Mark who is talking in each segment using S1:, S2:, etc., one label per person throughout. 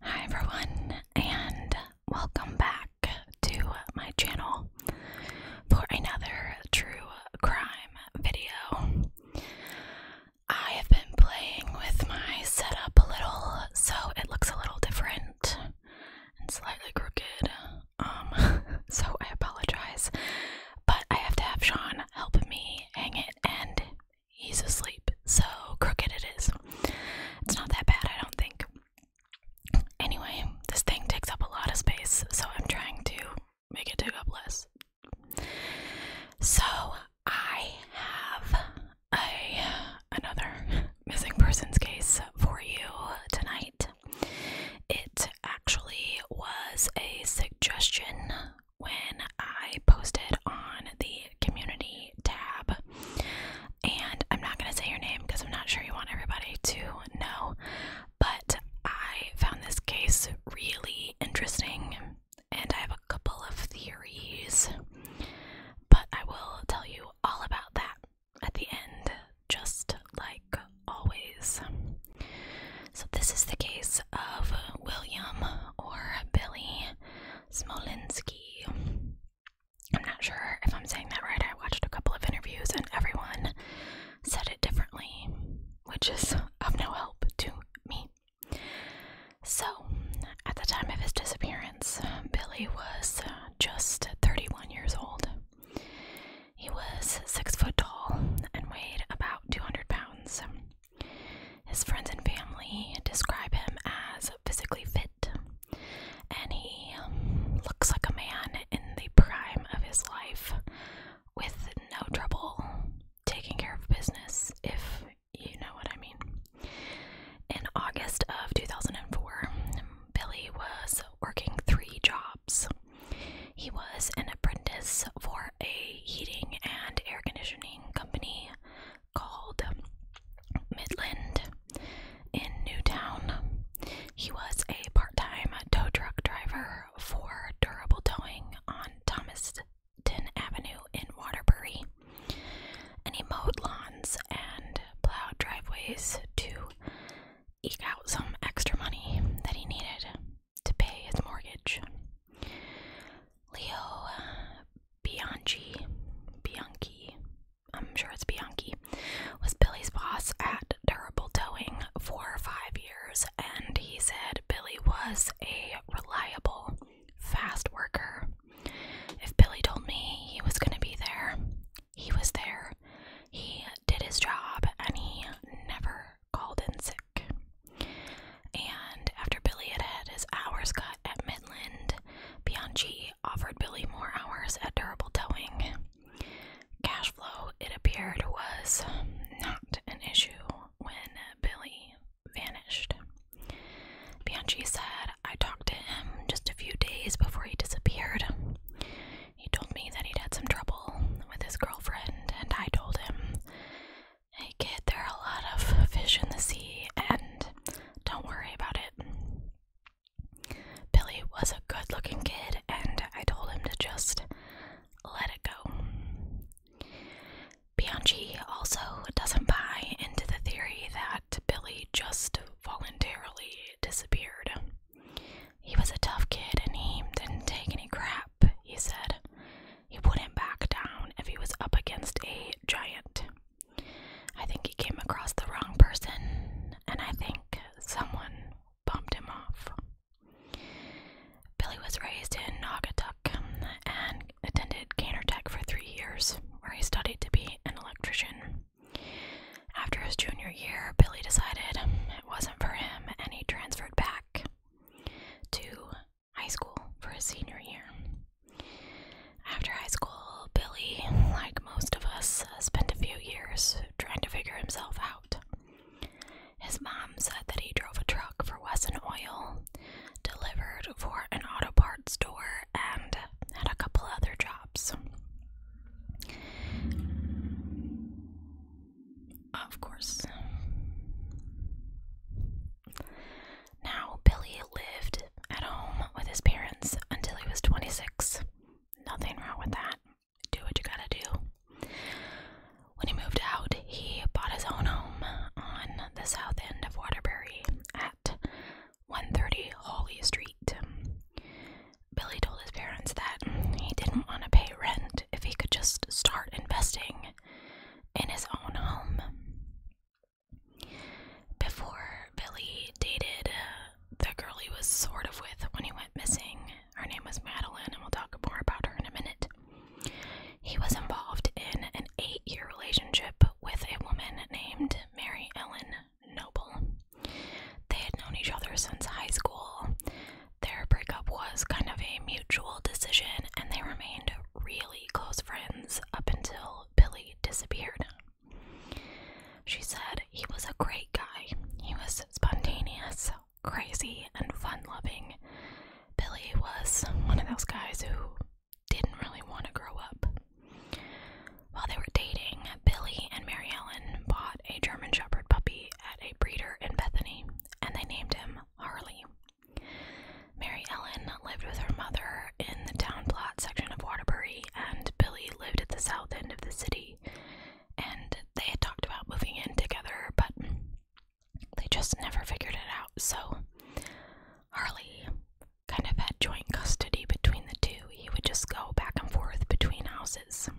S1: Hi everyone, and welcome back to my channel for another true crime video. I have been playing with my setup a little, so it looks a little different and slightly crooked. Um, so I apologize, but I have to have Sean help me hang it, and he's asleep, so crooked it is. It's not that bad, I don't think. Anyway, this thing takes up a lot of space, so I'm trying to make it take up less. So I have a another missing persons case for you tonight. It actually was a suggestion when I posted on the community tab. And I'm not going to say your name because I'm not sure you want everybody to know. But I found this case really interesting. And I have a couple of theories. But I will tell you all about that at the end, just like always. So, this is the case of William or Billy Smolinski. I'm not sure if I'm saying that right. I watched a couple of interviews and everyone said it differently, which is of no help to me. So, at the time of his disappearance, Billy was just 31 years old. He was six foot tall and weighed about 200 pounds. His friends and family describe him as physically fit, and he um, looks like a man in the prime of his life with no trouble taking care of business, if you know what I mean. In August of 2004, Billy was working three jobs. He was an apprentice for a heating and air conditioning company called Midland in Newtown. He was a part time tow truck driver for Durable Towing on Thomaston Avenue in Waterbury. And he mowed lawns and plowed driveways to eke out some extra money that he needed to pay his mortgage. Leo Bianchi, Bianchi, I'm sure it's Bianchi, was Billy's boss at Terrible Towing for five years, and he said Billy was a reliable, fast worker. If Billy told me he was going to be there, he was there, he did his job, and he never called in sick. And after Billy had had his hours cut at Midland, Bianchi offered Billy more hours at Durable Towing. Cash flow, it appeared, was not an issue when Billy vanished. Bianchi said, I talked to him just a few days before he disappeared. He told me that he'd had some trouble with his girlfriend, and I told him, Hey kid, there are a lot of fish in the sea, and don't worry about it. Billy was a good looking kid, and I told him to just let it go. Bianchi also doesn't buy into the theory that Billy just voluntarily disappeared. He was a tough kid and he didn't take any crap, he said. He wouldn't back down if he was up against a giant. I think he came across the wrong person, and I think someone bumped him off. Billy was raised in Naugatuck and attended Canter Tech for three years, where he studied to be an electrician. After his junior year, Billy decided it wasn't for him and he transferred back to high school for his senior year. After high school, Billy, like most of us, spent a few years trying to figure himself out. His mom said that he drove a truck for Wesson Oil, delivered for an auto parts store, and had a couple other jobs. Of course. Now, Billy lived at home with his parents until he was 26. Nothing wrong with that. Do what you gotta do. When he moved out, he bought his own home on the south end of Waterbury at 130 Hawley Street. Billy told his parents that he didn't want to pay rent if he could just start investing in his own home. Before Billy dated uh, the girl he was sort of with when he went missing, her name was Madeline, and we'll talk more about her in a minute. He was involved in an eight year relationship with a woman named Mary Ellen Noble. They had known each other since high school. Their breakup was kind of a mutual decision, and they remained really close friends up until Billy disappeared. She said he was a great guy. He was spontaneous, crazy, and fun loving. Billy was one of those guys who didn't really want to grow up. While they were dating, Billy and Mary Ellen bought a German Shepherd puppy at a breeder in Bethany, and they named him Harley. Mary Ellen lived with her mother in the town plot section of Waterbury, and Billy lived at the south end of the city. And they had talked about moving in together, but they just never figured it out. So Harley kind of had joint custody between the two. He would just go back and forth between houses.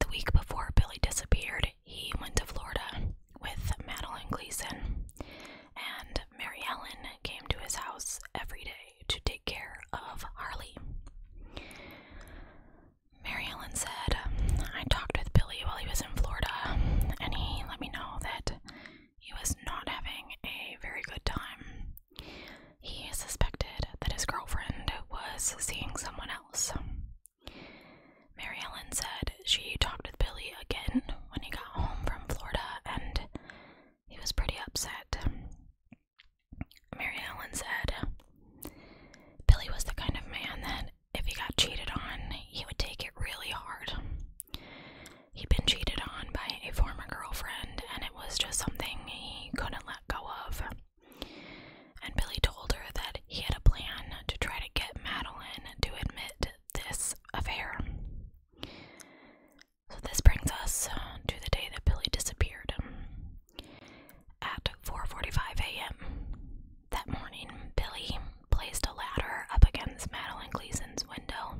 S1: The week before Billy disappeared, he went to Florida with Madeline Gleason, and Mary Ellen came to his house every day to take care of Harley. Mary Ellen said, I talked with Billy while he was in Florida, and he let me know that he was not having a very good time. He suspected that his girlfriend was seeing someone else. Mary Ellen said she talked with Billy again when he got home from Florida and he was pretty upset. Mary Ellen said Billy was the kind of man that if he got cheated on, he would take it really hard. He'd been cheated on by a former girlfriend, and it was just something he couldn't let go of. And Billy told her that he had a plan to try to get Madeline to admit this affair. So, this brings us to the day that Billy disappeared. At 4:45 a.m. that morning, Billy placed a ladder up against Madeline Gleason's window,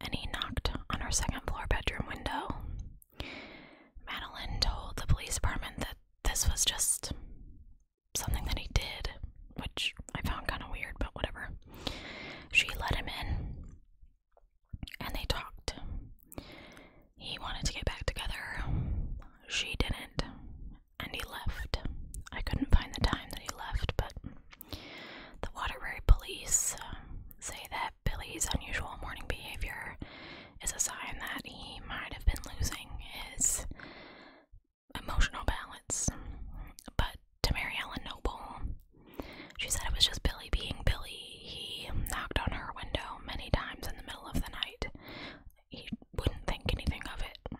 S1: and he knocked on her second floor bedroom window. Madeline told the police department that this was just something that he did, which I found kind of weird, but whatever. She let him in and they talked. He wanted to get back together. She didn't. And he left. I couldn't find the time that he left, but the Waterbury police uh, say that Billy's unusual morning behavior is a sign that he might have been losing his emotional balance. But to Mary Ellen Noble, she said it was just Billy being Billy. He knocked on her window many times in the middle of the night. He wouldn't think anything of it.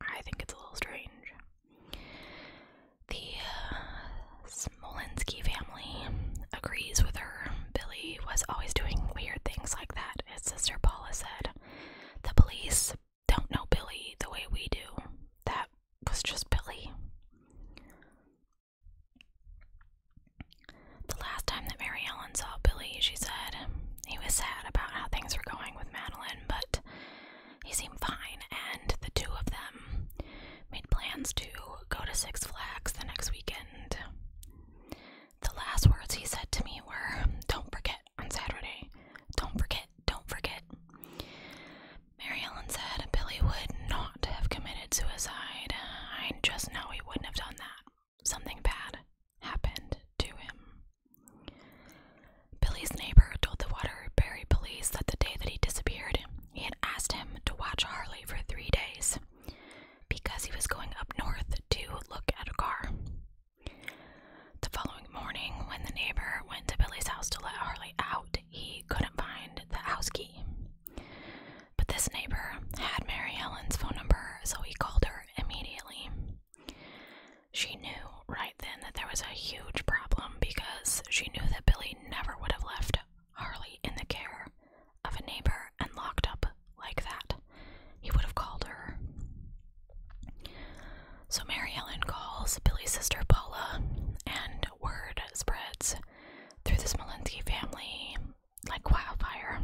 S1: I think it's a little strange. The uh, family agrees with her Billy was always doing weird things like that, his sister Paula said. The police don't know Billy the way we do. That was just Billy. The last time that Mary Ellen saw Billy, she said he was sad about how things were going with Madeline, but he seemed fine, and the two of them made plans to go to Six Flags the next weekend. The last words he said to me were, Don't forget on Saturday. Don't forget, don't forget. Mary Ellen said Billy would not have committed suicide. I just know he wouldn't have done that. Something bad happened to him. Billy's neighbor told the Waterbury police that the day that he disappeared, he had asked him to watch Harley for three days because he was going up north to look at a car. The following morning, when the neighbor went to Billy's house to let Harley out, he couldn't find the house key. But this neighbor had Mary Ellen's phone number, so he called her immediately. She knew right then that there was a huge problem because she knew that Billy never would have left Harley in the care of a neighbor and locked up like that. He would have called her. So Mary Ellen calls Billy's sister Paula, and word spreads through this Smolensky family like wildfire.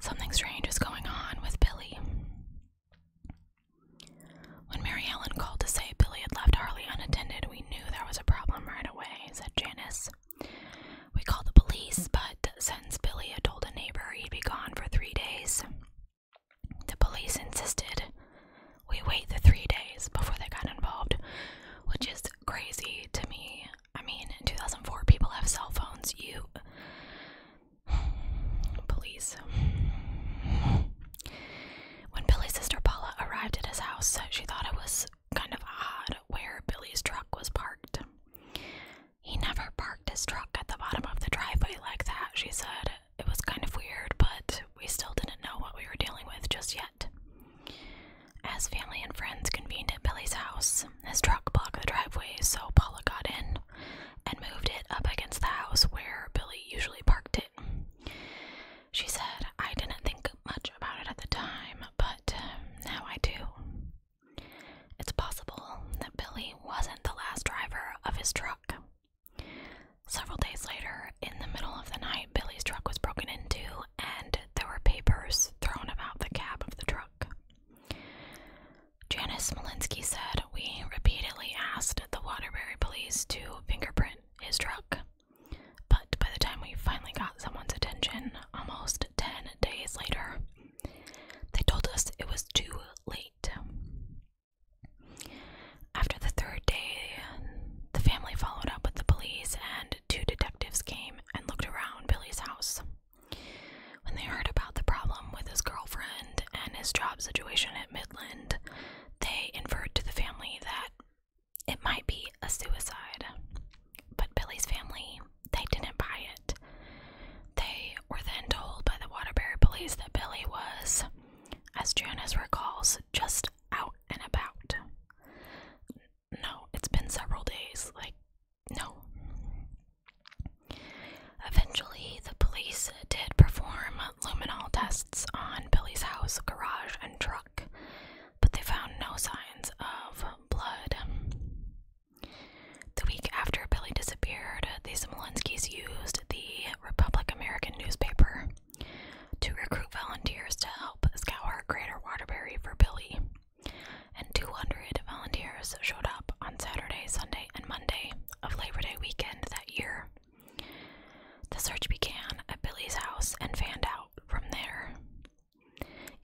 S1: Something strange is going on with Billy. When Mary Ellen called to say Billy had left Harley unattended, we knew there was a problem right away, said Janice. We called the police, but since Billy had told a neighbor he'd be gone for three days, the police insisted we wait the three days before they got involved, which is crazy to me. I mean, in 2004, people have cell phones. You. Police. When Billy's sister Paula arrived at his house, she thought it was kind of odd where Billy's truck was parked. He never parked his truck at the bottom of the driveway like that, she said. It was kind of weird, but we still didn't know what we were dealing with just yet. As family and friends convened at Billy's house, his truck blocked the driveway, so Paula got in and moved it up against the house where Billy usually parked it. She said, I didn't think much about it at the time, but uh, now I do. It's possible that Billy wasn't the last driver of his truck. Several days later, in the middle of the night, Billy's truck was broken into and there were papers thrown about the cab of the truck. Janice Malinsky said, We repeatedly asked the Waterbury police to fingerprint his truck, but by the time we finally got someone's attention almost 10 days later. They told us it was too late. After the third day, the family followed up with the police, and two detectives came and looked around Billy's house. When they heard about the problem with his girlfriend and his job situation at Midland, they inferred to the family that it might be a suicide. But Billy's family, they didn't buy it. They were then told by the Waterbury police that Billy was, as Janice recalls, just out and about. No, it's been several days. Like, no. Eventually, the police did perform luminol tests on Billy's house, garage, and truck, but they found no signs of blood. The week after Billy disappeared, the Smolenskis used the Republic American newspaper to recruit volunteers to help scour Greater Waterbury for Billy, and 200 volunteers showed up on Saturday, Sunday, and Monday of Labor Day weekend that year. The search began at Billy's house and fanned out from there.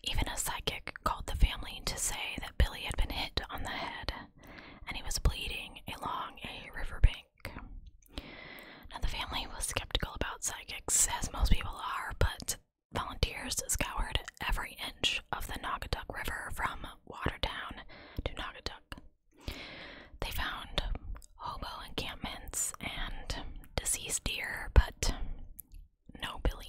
S1: Even a psychic called the family to say that Billy had been hit on the head and he was bleeding along a riverbank. Now, the family was skeptical about psychics, as most people are, but volunteers scoured every inch of the Naugatuck River from Watertown to Naugatuck. They found hobo encampments and deceased deer, but no, Billy.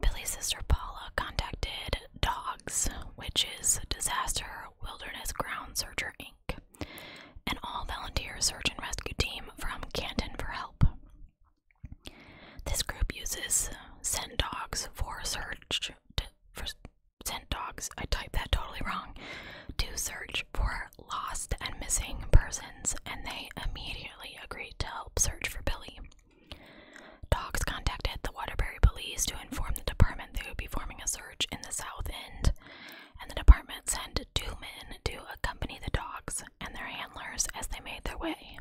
S1: Billy's sister Paula contacted DOGS, which is Disaster Wilderness Ground Searcher Inc., an all volunteer search and rescue team from Canton for help. This group uses Send Dogs for search. To, for, Sent dogs, I typed that totally wrong, to search for lost and missing persons, and they immediately agreed to search for Billy. Dogs contacted the Waterbury police to inform the department they would be forming a search in the South End, and the department sent two men to accompany the dogs and their handlers as they made their way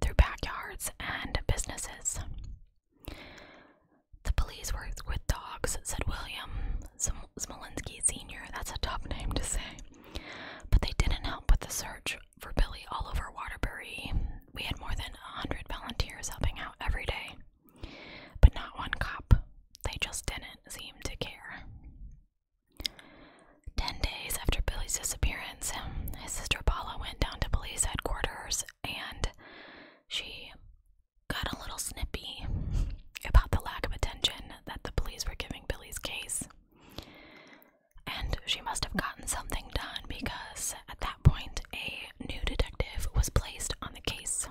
S1: through backyards and businesses. The police worked with dogs, said William Smolinski Sr. That's a tough name to say. But they didn't help with the search for Billy all over Waterbury. We had more than a hundred volunteers helping out every day, but not one cop. They just didn't seem to care. Ten days after Billy's disappearance, his sister Paula went down to police headquarters and she got a little snippy about the lack of attention that the police were giving Billy's case. And she must have gotten something done because at that point a new detective was placed on the case.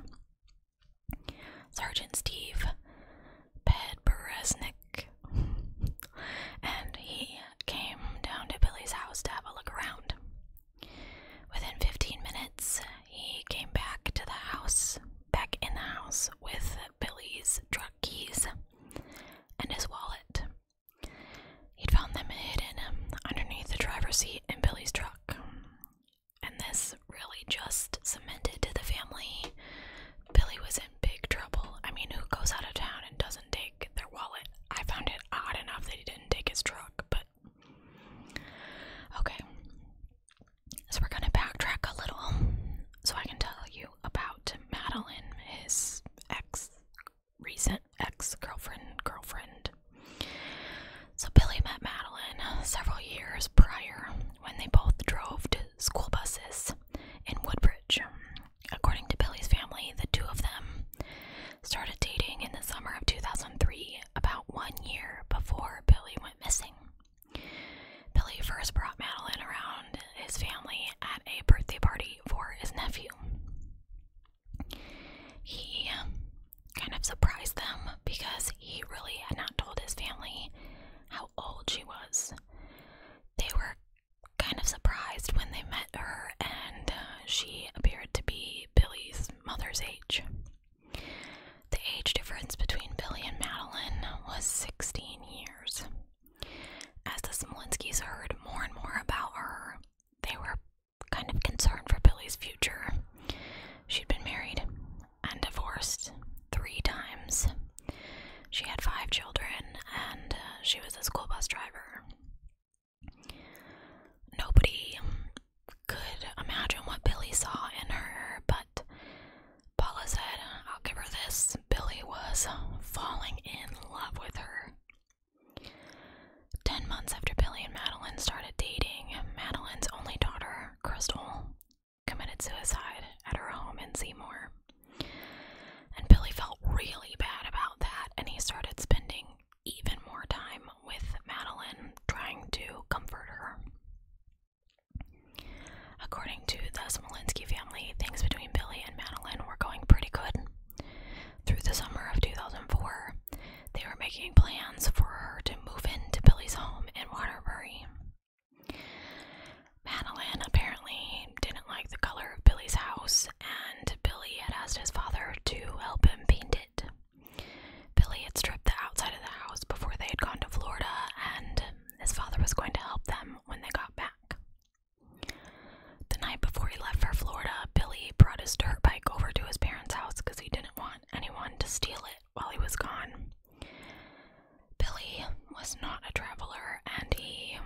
S1: Sergeant Steve Bedberesnik. And he came down to Billy's house to have a look around. Within 15 minutes, he came back to the house, back in the house, with Billy's truck keys and his wallet. He'd found them hidden um, underneath the driver's seat in Billy's truck. And this really just cemented to the family Billy was in big trouble. I mean, who goes out of town and doesn't take their wallet? I found it odd enough that he didn't take his truck, but. Okay. So we're going to backtrack a little so I can tell you about Madeline, his ex recent ex girlfriend girlfriend. So Billy met Madeline several years prior when they both drove to school buses in Woodbridge. According to Billy's family, the two of them started dating in the summer of 2003, about one year before Billy went missing. Billy first brought Madeline around his family at a birthday party for his nephew. He um, kind of surprised them because he really had not told his family how old she was. They were kind of surprised when they met her, and uh, she appeared to be Billy's mother's age. The age difference between Billy and Madeline was 16 years. As the Smolinskys heard more and more about her, they were kind of concerned for Billy's future. She'd been married and divorced three times. She had five children, and uh, she was a school bus driver. Nobody could imagine what Billy saw in her, but Paula said, I'll give her this. Billy was falling in love with her. Ten months after Billy and Madeline started dating, Madeline's only daughter, Crystal, committed suicide at her home in Seymour. And Billy felt really bad about that, and he started spending even more time with Madeline, trying to comfort her. According to the Smolinski family, things between Billy and Madeline were going pretty good. Through the summer of 2004, they were making plans for her to move into Billy's home in Waterbury. Madeline apparently didn't like the color of Billy's house, and Billy had asked his father to help him paint it. Billy had stripped the outside of the house before they had gone to Florida, and his father was going to help them when they got back. The night before he left for Florida, Billy brought his dirt bike over to his parents' house because he didn't want anyone to steal it while he was gone. Billy was not a traveler and he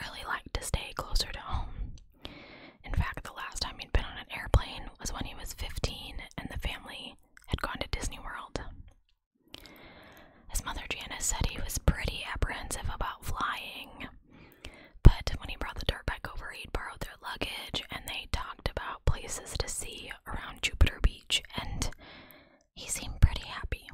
S1: really liked to stay closer to home. In fact, the last time he'd been on an airplane was when he was 15 and the family had gone to Disney World. As mother Janice said he was pretty apprehensive about flying, but when he brought the dirt bike over, he'd borrowed their luggage and they talked about places to see around Jupiter Beach, and he seemed pretty happy.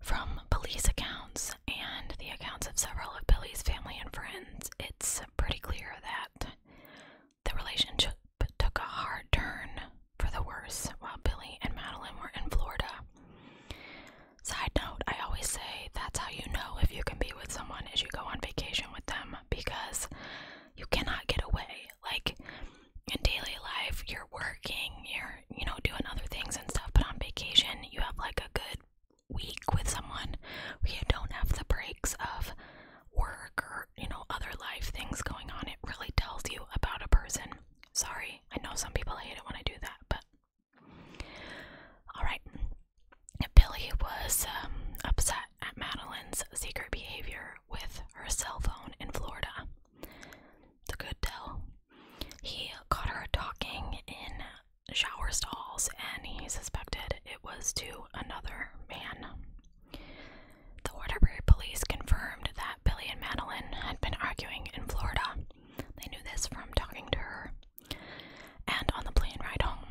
S1: From police accounts and the accounts of several of Billy's family and friends, it's pretty clear that the relationship took a hard turn for the worse while Billy and Madeline were in Florida. Side note, I always say that's how you know if you can be with someone is you go on vacation with them because you cannot get away. Like in daily life, you're working, you're, you know, doing other things and stuff, but on vacation, you have like a good week with someone you don't have the breaks of work or, you know, other life things going on. It really tells you about a person. Sorry, I know some people hate it when I do that, but. Alright. Billy was um, upset at Madeline's secret behavior with her cell phone in Florida. The good tell. He caught her talking in shower stalls and he suspected it was to another man. The Waterbury police confirmed that Billy and Madeline had been arguing in Florida. They knew this from talking to her. And on the plane ride home.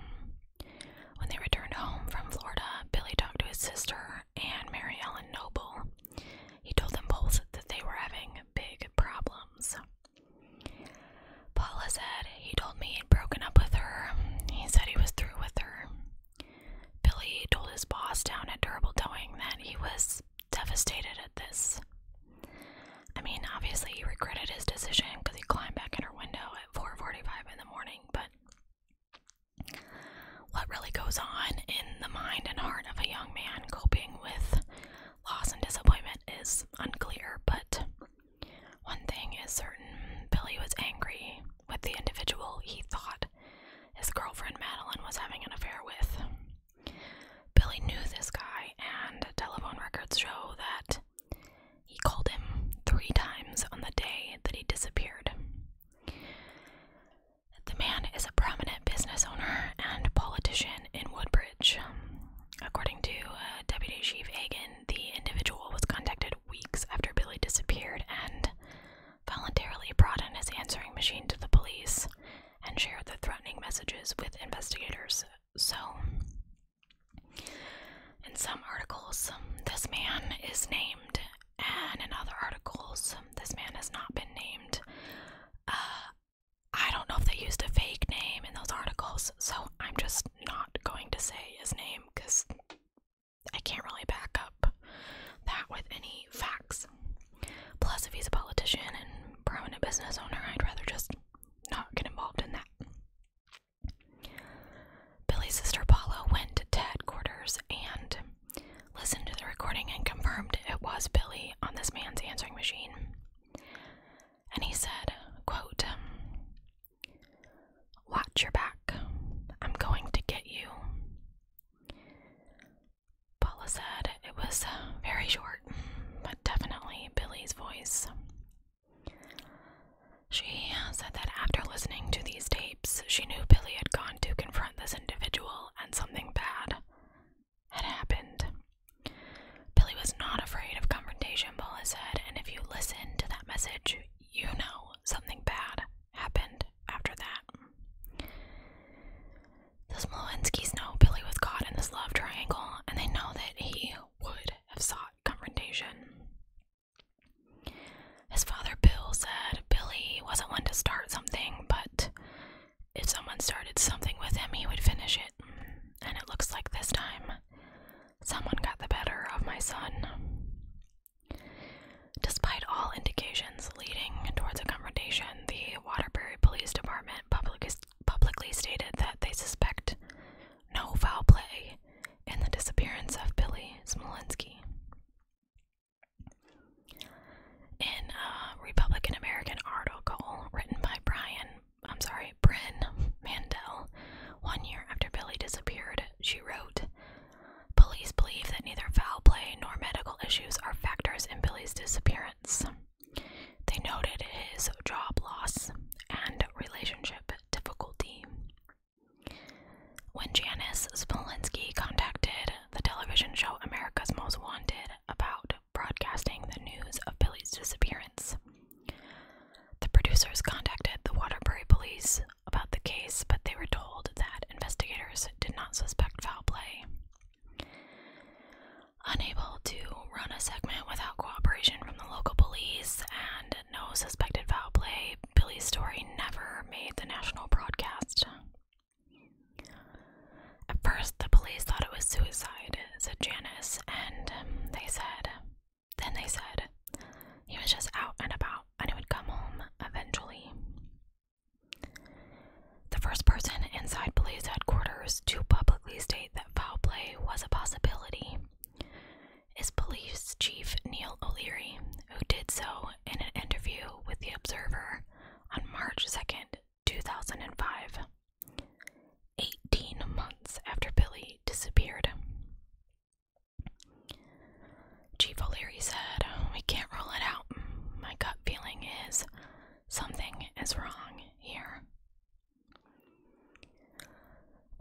S1: When they returned home from Florida, Billy talked to his sister and Mary Ellen Noble. He told them both that they were having big problems. Paula said he told me he'd broken up with her. He said he was through with her. Billy told his boss down at Durable Towing that he was devastated at this. I mean, obviously he regretted his decision because he climbed back in her window at 4:45 in the morning, but what really goes on in the mind and heart of a young man coping with loss and disappointment is unclear, but one thing is certain, Billy was angry with the individual he thought his girlfriend Madeline was having an affair with. Billy knew this guy, and telephone records show that he called him three times on the day that he disappeared. The man is a prominent business owner and politician in Woodbridge. According to uh, Deputy Chief Hagan, the individual was contacted weeks after Billy disappeared and voluntarily brought in his answering machine to the police and shared the threatening messages with investigators. So, in some articles, this man is named, and in other articles, this man has not been named. Uh, I don't know if they used a fake name in those articles, so I'm just not going to say his name because I can't really back up that with any facts. Plus, if he's a politician and prominent business owner, I'd rather just not get involved in that. Billy's sister Paula went to Ted quarters and listened to the recording and confirmed it was Billy on this man's answering machine. And he said, quote, Watch your back. I'm going to get you. Paula said it was uh, very short, but definitely Billy's voice. She said that after listening to these tapes, she knew Billy had gone to confront this individual and something bad had happened. Billy was not afraid of confrontation, Paula said, and if you listen to that message, you know something bad happened after that. The Smolenskis know Billy was caught in this love triangle, and they know that he would have sought confrontation. His father, Bill, said Billy wasn't one to start something, but if someone started something with him, he would finish it. And it looks like this time, someone got the better of my son. Despite all indications leading towards a confrontation, the Waterbury Police Department public publicly stated that they suspect no foul play in the disappearance of Billy Smolensky. In a Republican American article written by Brian, I'm sorry, Bryn Mandel, one year after Billy disappeared, she wrote, Police believe that neither foul play nor medical issues are factors in Billy's disappearance. They noted his job loss and relationship difficulty. When Janice Smolinski contacted the television show America's Most Wanted about broadcasting the news of Billy's disappearance, the producers contacted the Waterbury police about the case, but they were told that investigators did not suspect foul play. Unable to run a segment without cooperation from the local police and no suspected foul play, Billy's story never made the national broadcast. At first, the police thought it was suicide, said Janice, and um, they said, then they said, he was just out and about and he would come home eventually. The first person inside police headquarters to publicly state that foul play was a possibility is police chief Neil O'Leary, who did so in an interview with The Observer on March 2, 2005, 18 months after Billy disappeared. Chief O'Leary said, We can't rule it out. My gut feeling is Something is wrong here.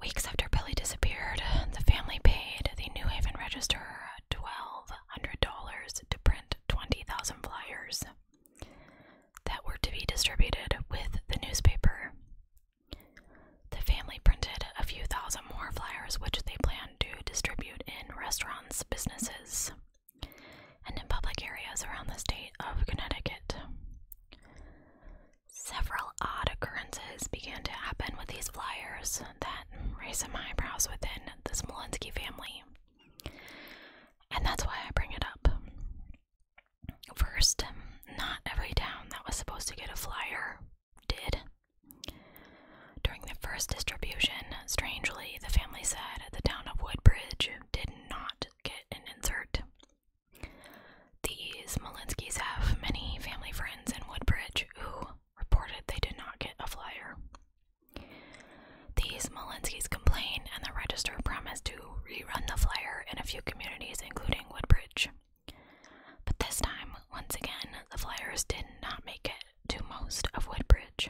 S1: Weeks after Billy disappeared, the family paid the New Haven Register $1,200 to print 20,000 flyers that were to be distributed with the newspaper. The family printed a few thousand more flyers, which they plan to distribute in restaurants, businesses, and in public areas around the state of Connecticut. Several odd occurrences began to happen with these flyers that raised some eyebrows within the Smolensky family. And that's why I bring it up. First, not every town that was supposed to get a flyer did. During the first distribution, strangely, the family said the town of Woodbridge did not get an insert. The Smolinskis have many family friends in Woodbridge who reported they did not get a flyer. These Smolinskis complain, and the Register promised to rerun the flyer in a few communities, including Woodbridge. But this time, once again, the flyers did not make it to most of Woodbridge.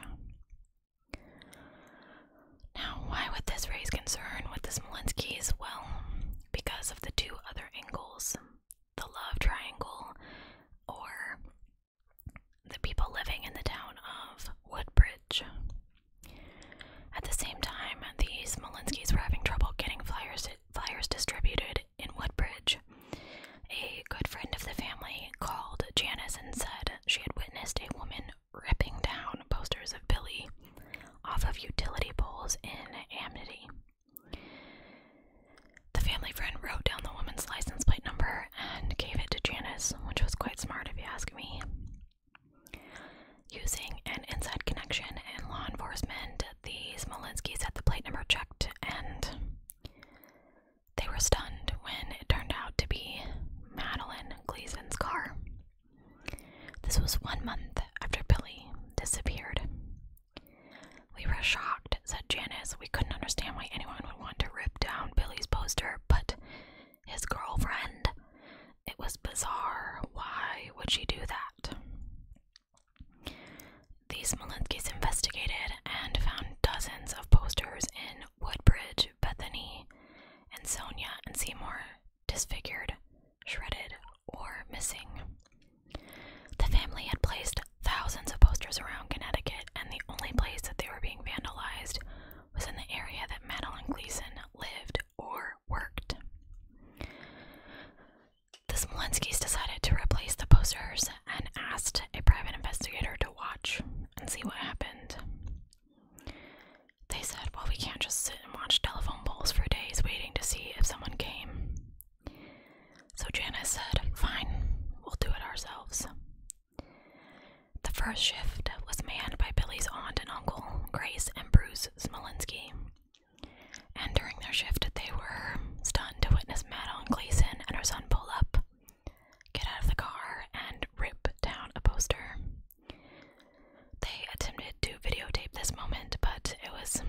S1: Now, why would this raise concern with the Smolenskis? Well, because of the two other angles the love triangle, or the people living in the town of Woodbridge. At the same time, the Smolenskis were having trouble getting flyers, flyers distributed in Woodbridge. A good friend of the family called Janice and said she had witnessed a woman ripping down posters of Billy off of utility poles in Amity. The family friend wrote down the woman's license plate number and gave it to Janice, which was quite smart if you ask me. Using an inside connection in law enforcement, the Smolinskis had the plate number checked and they were stunned when it turned out to be Madeline Gleason's car. This was one month after Billy disappeared. We were shocked, said Janice. We couldn't understand why anyone would want to rip down Billy's poster, but his girlfriend. It was bizarre. Why would she do that? The Smolinskis investigated and found dozens of posters in Woodbridge, Bethany, and Sonia and Seymour disfigured, shredded, or missing. The family had placed thousands of posters around Connecticut, and the only place that they were being vandalized was in the area that Madeline Gleason lived or worked. The Smolenskis decided to replace the posters and asked a private investigator to watch and see what happened. They said, Well, we can't just sit and watch telephone poles for days waiting to see if someone came. So Janice said, Fine, we'll do it ourselves. The first shift was manned by Billy's aunt and uncle, Grace and Bruce Smolinski. And during their shift, they were stunned to witness Madeline Gleason and her son pull up, get out of the car, and rip down a poster. They attempted to videotape this moment, but it was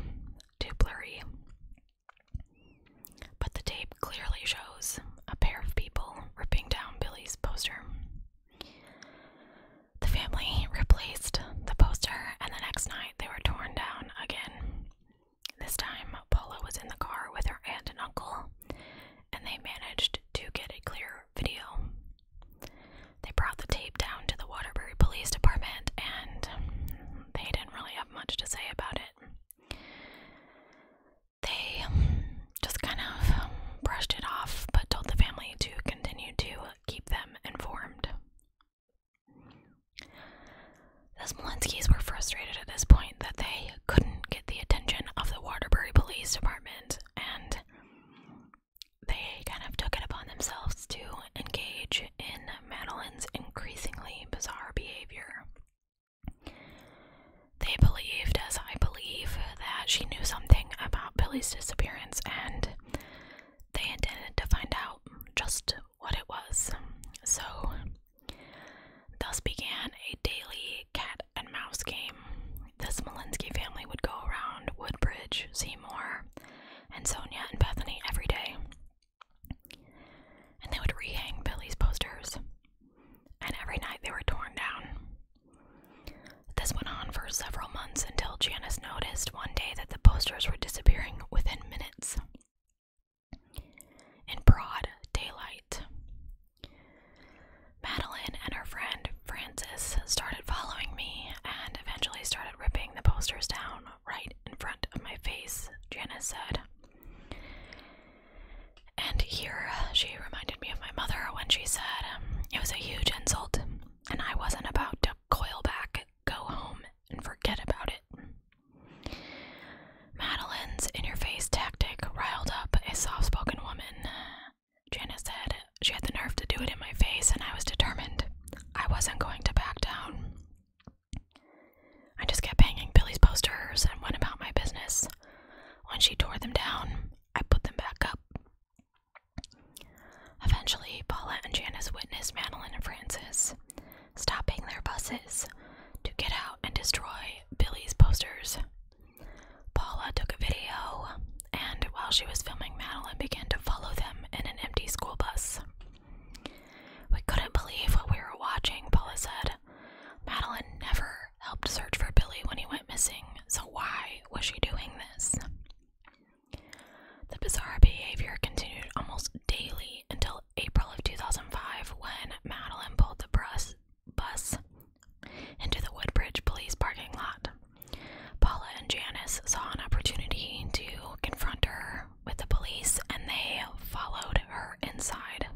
S1: too blurry. But the tape clearly shows a pair of people ripping down Billy's poster. The family replaced the poster, and the next night they were torn down again. This time, Paula was in the car with her aunt and uncle, and they managed to get a clear video. They brought the tape down to the Waterbury Police Department and they didn't really have much to say about it. They just kind of brushed it off but told the family to continue to keep them informed. The Smolenskis were frustrated at this point that they couldn't get the attention of the Waterbury Police Department and they kind of took it upon themselves to engage in Madeline's increasingly bizarre behavior. They believed, as I believe, that she knew something about Billy's disappearance and they intended to find out just what it was. So, thus began a daily cat and mouse game, This Malinsky family would go around Woodbridge, Seymour, and Sonia and Bethany every day. And they would rehang Billy's posters, and every night they were torn down. This went on for several months until Janice noticed one day that the posters were disappearing within minutes. In broad daylight. Madeline and her friend Frances started following me and eventually started ripping the posters down right in front of my face, Janice said. And here she reminded me of my mother when she said it was a huge insult, and I wasn't about to coil back, go home, and forget about it. Madeline's in your face tactic riled up a soft spoken woman, Janice said she had the nerve to do it in my face, and I was determined. I wasn't going to back down. I just kept hanging Billy's posters and went about my business. When she tore them down, I put them back up. Eventually, Paula and Janice witnessed Madeline and Francis stopping their buses to get out and destroy Billy's posters. Paula took a video, and while she was filming, Madeline began to follow them in an empty school bus. We couldn't believe what we were watching, Paula said. Madeline never helped search for Billy when he went missing, so why was she doing this? The bizarre behavior continued almost daily until April of 2005 when Madeline pulled the bus, bus into the Woodbridge police parking lot. Paula and Janice saw an opportunity to confront her with the police and they followed her inside.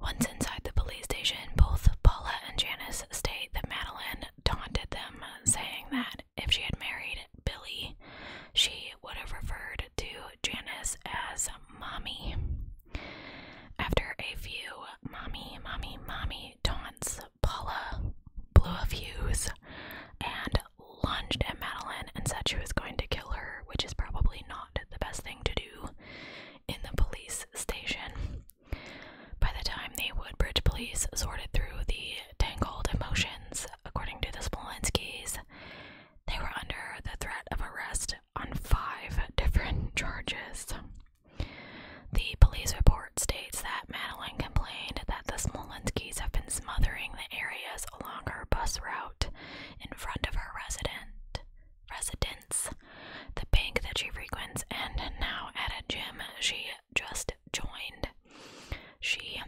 S1: Once inside the police station, both Paula and Janice state that Madeline taunted them, saying that if she had married Billy, she would have referred to Janice as Mommy. After a few mommy, mommy, mommy taunts, Paula blew a fuse and lunged at Madeline and said she was going to kill her, which is probably not the best thing to do in the police station. By the time the Woodbridge police sorted through the tangled emotions, according to the Smolenskis, they were under the threat of arrest on five different charges. The police report states that Madeline complained that the Smolenskis have been smothering the areas along her bus route in front of her resident residence, the bank that she frequents, and now at a gym she just joined. She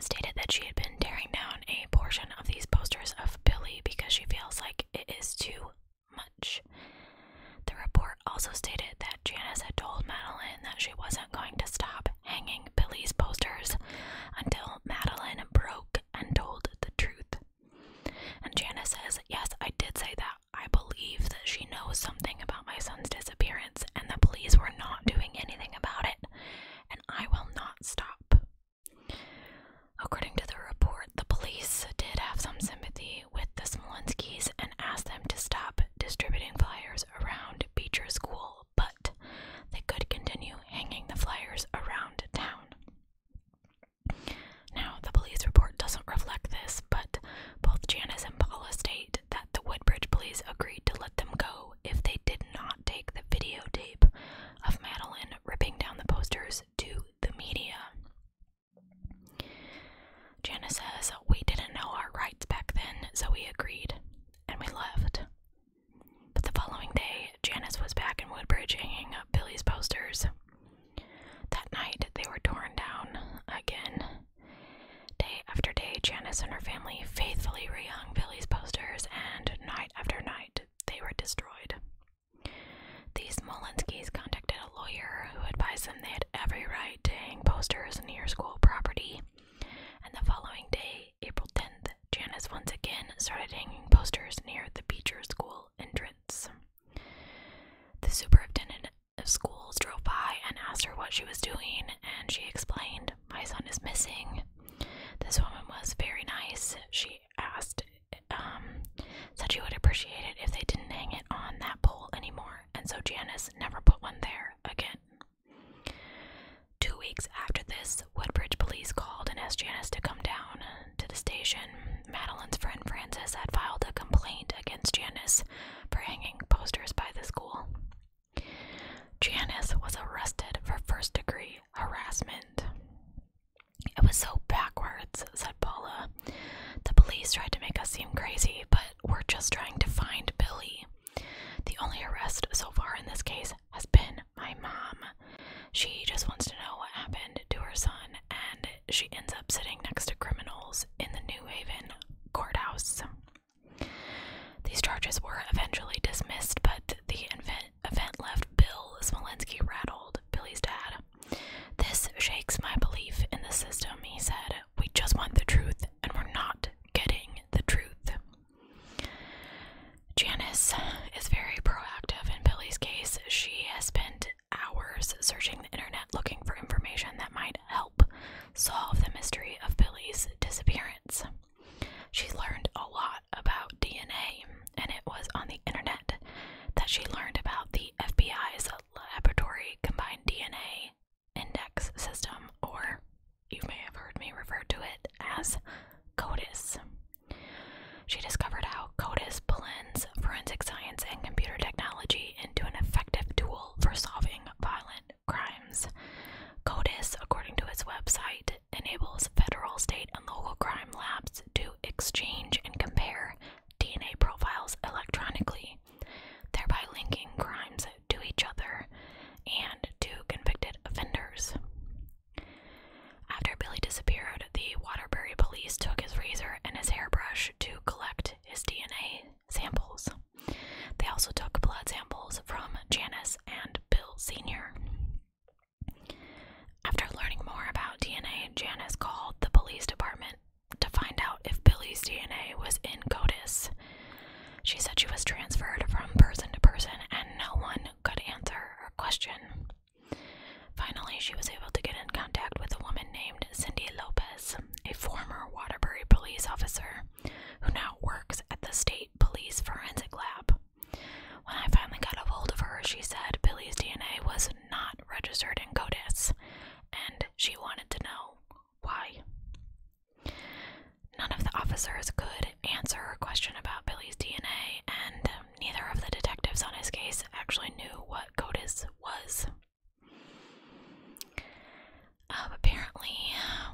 S1: stated that she had been tearing down a portion of these posters of Billy because she feels like it is too much. The report also stated that Janice had told Madeline that she wasn't going to stop hanging Billy's posters until Madeline broke and told the truth. And Janice says, Yes, I did say that. I believe that she knows something about my son's disappearance, and the police were not doing anything about it, and I will not stop. According to the report, the police did have some sympathy with the Smolenskys and asked them to stop distributing flyers around Beecher School, but they could continue hanging the flyers around town. Now, the police report doesn't reflect this, but both Janice and Paula state that the Woodbridge police agreed to let them go if they did not take the videotape of Madeline ripping down the posters to the media. Janice says, We didn't know our rights back then, so we agreed and we left. But the following day, Janice was back in Woodbridge hanging up Billy's posters. That night, they were torn down again. Day after day, Janice and her family faithfully rehung Billy's posters, and night after night, they were destroyed. These Smolenskis contacted a lawyer who advised them they had every right to hang posters near school property. And the following day, April 10th, Janice once again started hanging posters near the Beecher School entrance. The superintendent of schools drove by and asked her what she was doing, and she explained, My son is missing. This woman was very nice. She asked um, said she would appreciate it if they didn't hang it on that pole anymore, and so Janice never put one there again. Two weeks after this, Woodbridge police called and asked Janice to come down to the station. Madeline's friend Francis had filed a complaint against Janice for hanging posters by the school. Janice was arrested for first degree harassment. It was so backwards, said Paula. The police tried to make us seem crazy, but we're just trying to find Billy. The only arrest so far in this case has been my mom. She just wants to know what happened to her son, and she ends up sitting next to criminals in the New Haven courthouse. These charges were eventually dismissed, but the event left Bill Smolensky rattled, Billy's dad. This shakes my belief in the system, he said. We just want the truth, and we're not getting the truth. Janice is very proactive in Billy's case. She has spent hours searching the internet looking for information that might help solve the mystery of Billy's disappearance. She learned a lot about DNA, and it was on the internet that she learned about the FBI's laboratory combined DNA index system, or you may have heard me refer to it as CODIS. She discovered how CODIS blends forensic science and computer technology into an effective tool for solving violent crimes. CODIS, according to its website, enables federal, state, and local crime labs to exchange and compare DNA profiles electronically, thereby linking crimes to each other and to convicted offenders. After Billy disappeared, the Waterbury police took his razor and his hairbrush to collect his DNA samples. They also took blood samples from Janice and Bill Sr. After learning more about DNA, Janice called the police department to find out if Billy's DNA was in CODIS. She said she was transferred from person to person and no one could answer her question. Finally, she was able to get in contact with a woman named Cindy Lopez, a former Waterbury police officer who now works at the state police forensic lab. When I finally got a hold of her, she said Billy's DNA was not registered in CODIS and she wanted to know why. None of the officers could answer her question about Billy's DNA, and um, neither of the detectives on his case actually knew what CODIS was. Um, apparently,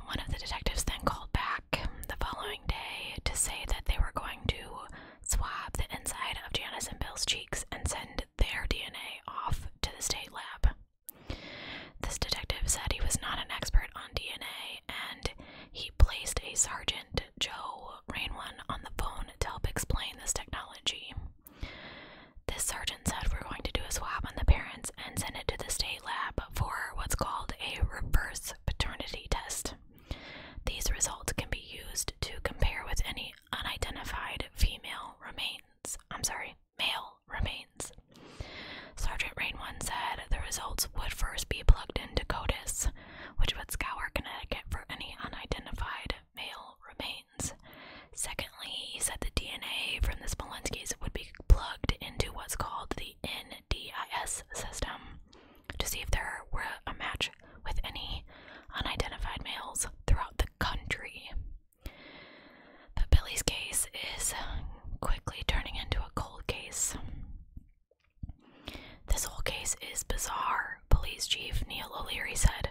S1: one of the detectives then called back the following day to say that they were going to swab the inside of Janice and Bill's cheeks and send their DNA off to the state lab. This detective said he was not an expert on DNA and he placed a sergeant, Joe Rainwan, on the phone to help explain this technology. This sergeant said we're going to do a swab on the parents and send it to the state lab for what's called a reverse paternity test. These results can be used to compare with any unidentified female remains. I'm sorry, male remains. Sergeant Rainone said the results would first be plugged into CODIS, which would scour Connecticut for any unidentified male remains. Secondly, he said the DNA from the Smolenskis would be plugged into what's called the NDIS system to see if there were a match with any unidentified males throughout the country. But Billy's case is quickly turning into a cold case. This whole case is bizarre, Police Chief Neil O'Leary said.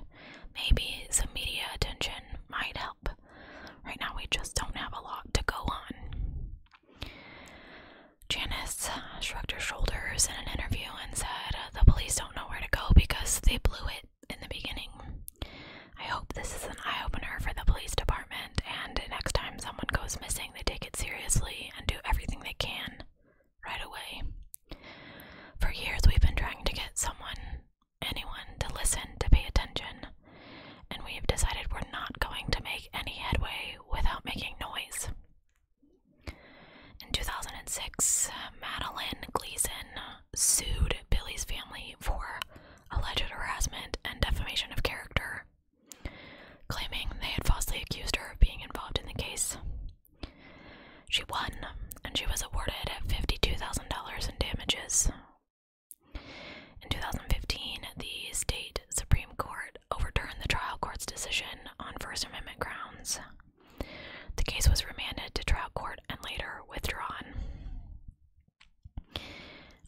S1: Maybe some media attention might help. Right now, we just don't have a lot to go on. Janice shrugged her shoulders in an interview and said, The police don't know where to go because they blew it in the beginning. I hope this is an eye opener for the police department, and next time someone goes missing, they take it seriously and do everything they can right away. For years, we've been trying to get someone, anyone, to listen, to pay attention, and we've decided we're not going to make any headway without making noise. In 2006, Madeline Gleason sued Billy's family for alleged harassment and defamation of character, claiming they had falsely accused her of being involved in the case. She won, and she was awarded $52,000 in damages. In 2015, the state Supreme Court overturned the trial court's decision on First Amendment grounds. The case was remanded to trial court and later withdrawn.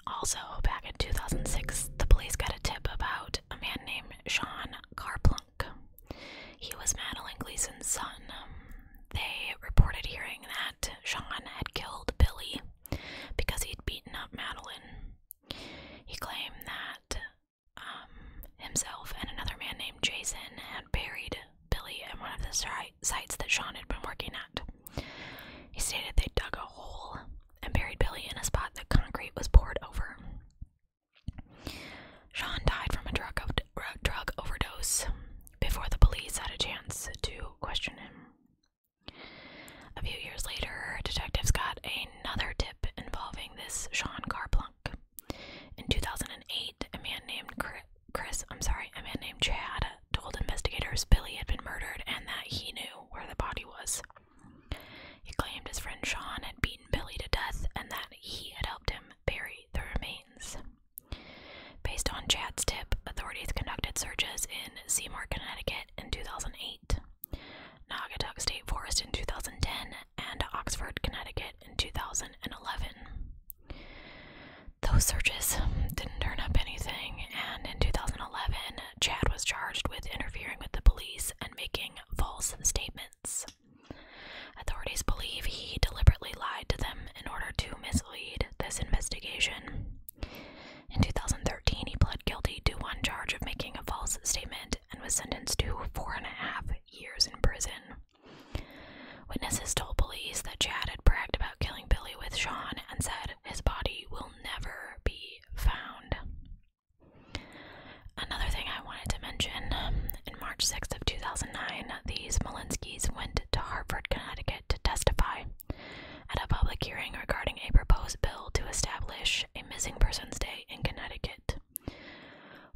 S1: Also, back in 2006, the police got a tip about a man named Sean Carplunk. He was Madeline Gleason's son. They reported hearing that Sean had killed Billy because he'd beaten up Madeline. He claimed that um, himself and another man named Jason had buried Billy in one of the sites that Sean had been working at. He stated they dug a hole and buried Billy in a spot that concrete was poured over. Sean died from a drug, drug overdose before the police had a chance to question him. A few years later, detectives got another tip involving this Sean Carplunk. In 2008, a man named Chris, I'm sorry, a man named Chad told investigators Billy had been murdered and that he knew where the body was. He claimed his friend Sean had beaten Billy to death and that he had helped him bury the remains. Based on Chad's tip, authorities conducted searches in Seymour, Connecticut in 2008, Naugatuck State Forest in 2010, and Oxford, Connecticut in 2011. Those searches didn't turn up anything, and in 2011, Chad was charged with interfering with the police and making false statements. Authorities believe he deliberately lied to them in order to mislead this investigation. In 2013, he pled guilty to one charge of making a false statement and was sentenced to four and a half years in prison. Witnesses told police that Chad had bragged about killing Billy with Sean and said his body will never be found. Another thing I wanted to mention in March 6th of 2009, these Malinsky's went to Hartford, Connecticut to testify at a public hearing regarding a proposed bill to establish a missing persons day in Connecticut.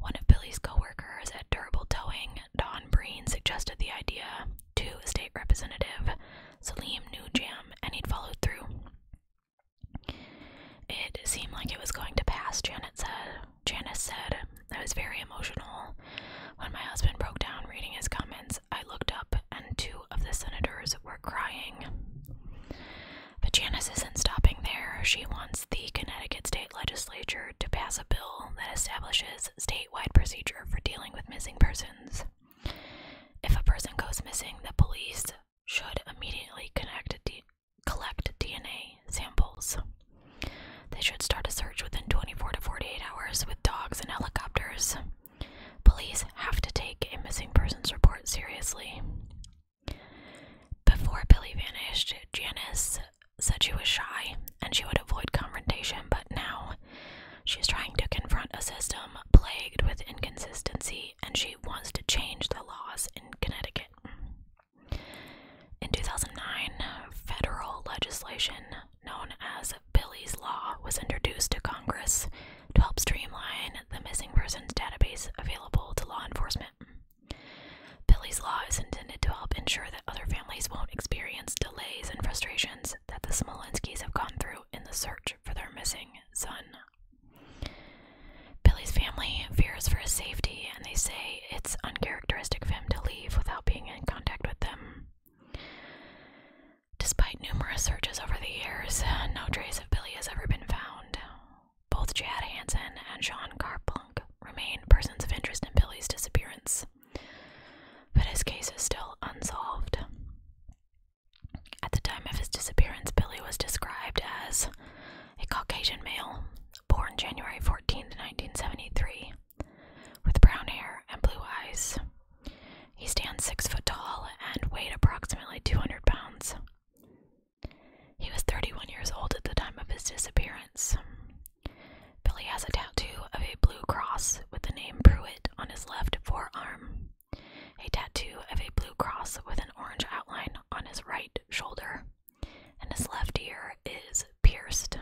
S1: One of Billy's co workers at Durable Towing, Don Breen, suggested the idea to State Representative Salim Nujam, and he'd followed through. It seemed like it was going to pass, Janet said. Janice said, I was very emotional. When my husband broke down reading his comments, I looked up and two of the senators were crying. But Janice isn't stopping there. She wants the Connecticut State Legislature to pass bill that establishes statewide procedure for dealing with missing persons. If a person goes missing, the police should immediately collect DNA samples. They should start a search within 24 to 48 hours with dogs and helicopters. Police have to take a missing persons report seriously. Before Billy vanished, Janice said she was shy and she would avoid confrontation, but now she's trying to confront a system plagued with inconsistency and she wants to change the laws in Connecticut. In 2009, federal legislation known as Billy's Law was introduced to Congress to help streamline the missing persons database available to law enforcement. Billy's Law is intended to help ensure that other families won't experience delays and frustrations that the Smolenskis have gone through in the search for their missing son. Billy's family fears for his safety and they say it's uncharacteristic of him to leave without being in contact with them. Despite numerous searches over the years, no trace of Billy has ever been found. Both Chad Hansen and Sean Carplunk remain persons of interest in Billy's disappearance but his case is still unsolved. At the time of his disappearance, Billy was described as a Caucasian male born January 14, 1973, with brown hair and blue eyes. He stands six foot tall and weighed approximately 200 pounds. He was 31 years old at the time of his disappearance. Billy has a tattoo of a blue cross with the name Pruitt on his left forearm, a tattoo of a blue cross with an orange outline on his right shoulder, and his left ear is pierced.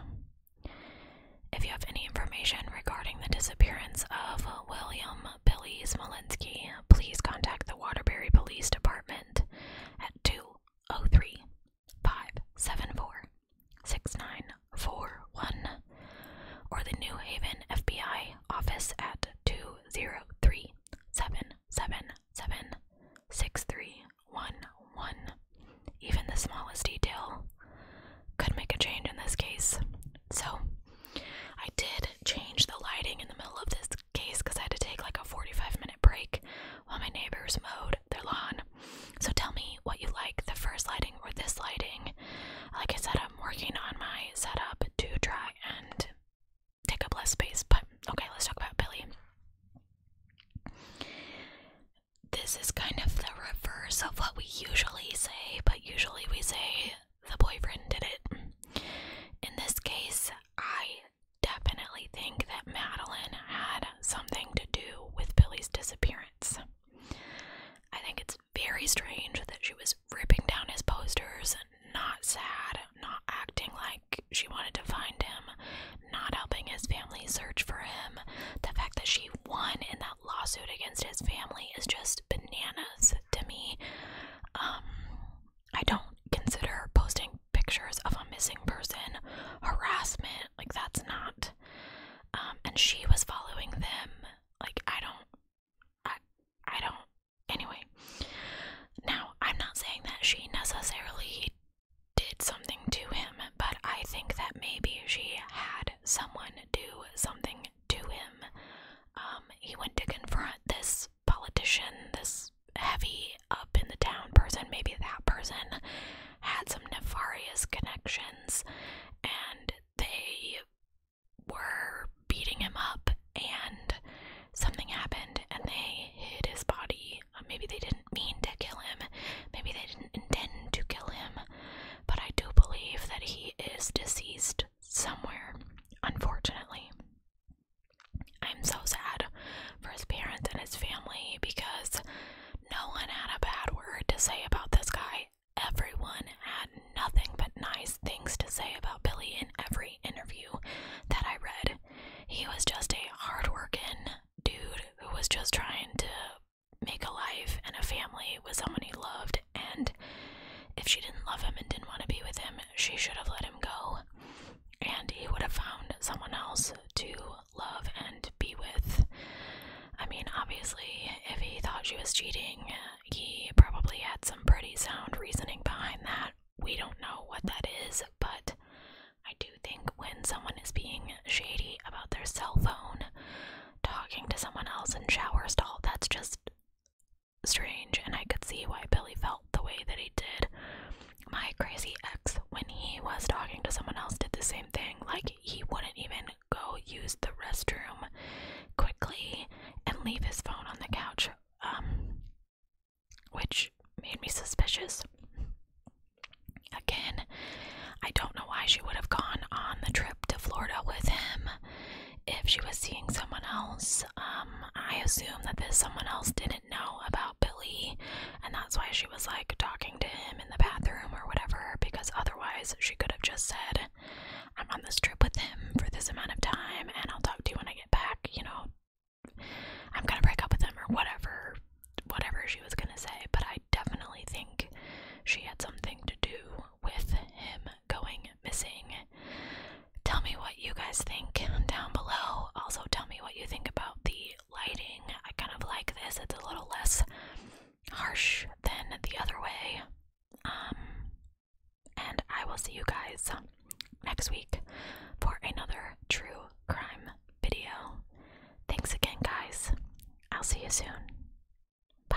S1: If you have any information regarding the disappearance of William Billy Smolinski, please contact the Waterbury Police Department at 203 five seven four six nine four one or the New Haven FBI office at two zero three seven seven seven six three one one. Even the smallest detail could make a change in this case. So I did change the lighting in the middle of this case because I had to take like a 45 minute break while my neighbors mowed their lawn. So tell me what you like the first lighting or this lighting. Like I said, I'm working on my setup to try and take up less space, but okay, let's talk about Billy. This is kind of the reverse of what we usually say, but usually we say the boyfriend did it. In this case, I definitely think that Madeline had something to do with Billy's disappearance. I think it's very strange that she was ripping down his posters, not sad, not acting like she wanted to find him, not helping his family search for him. The fact that she won in that lawsuit against his family is just bananas to me. Um, I don't consider posting pictures of a missing person harassment. Like, that's not um, and she was following them. Like I don't, I, I don't. Anyway, now I'm not saying that she necessarily did something to him, but I think that maybe she had someone do something to him. Um, he went to confront this politician, this heavy up in the town person, maybe that person, had some nefarious connections and they were beating him up and something happened and they hid his body. Uh, maybe they didn't mean to kill him. Maybe they didn't intend to kill him. But I do believe that he is deceased somewhere, unfortunately. I'm so sad for his parents and his family because no one had a bad word to say about this guy Everyone had nothing but nice things to say about Billy in every interview that I read. He was just a hardworking dude who was just trying to make a life and a family with someone he loved, and if she didn't love him and didn't want to be with him, she should have let him go, and he would have found someone else to love and be with. I mean, obviously, if he thought she was cheating, he probably had some pretty sound reasoning behind that. We don't know what that is, but I do think when someone is being shady about their cell phone, talking to someone else in shower stall, that's just strange, and I could see why Billy felt the way that he did. My crazy ex, when he was talking to someone else, did the same thing. Like, he wouldn't even go use the restroom quickly and leave his phone on the couch, um, which made me suspicious. Again, I don't know why she would have gone on the trip to Florida with him if she was seeing someone else. Um, I assume that this someone else didn't know about Billy, and that's why she was like talking to him in the bathroom or whatever, because otherwise she could have just said, I'm on this trip with him for this amount of time and I'll talk to you when I get back, you know, I'm gonna break up with him or whatever, whatever she was gonna say. But I definitely think she had something to do with him going missing. Tell me what you guys think down below. Also, tell me what you think about the lighting. I kind of like this, it's a little less harsh than the other way. Um, and I will see you guys next week for another true crime video. Thanks again, guys. I'll see you soon. Bye.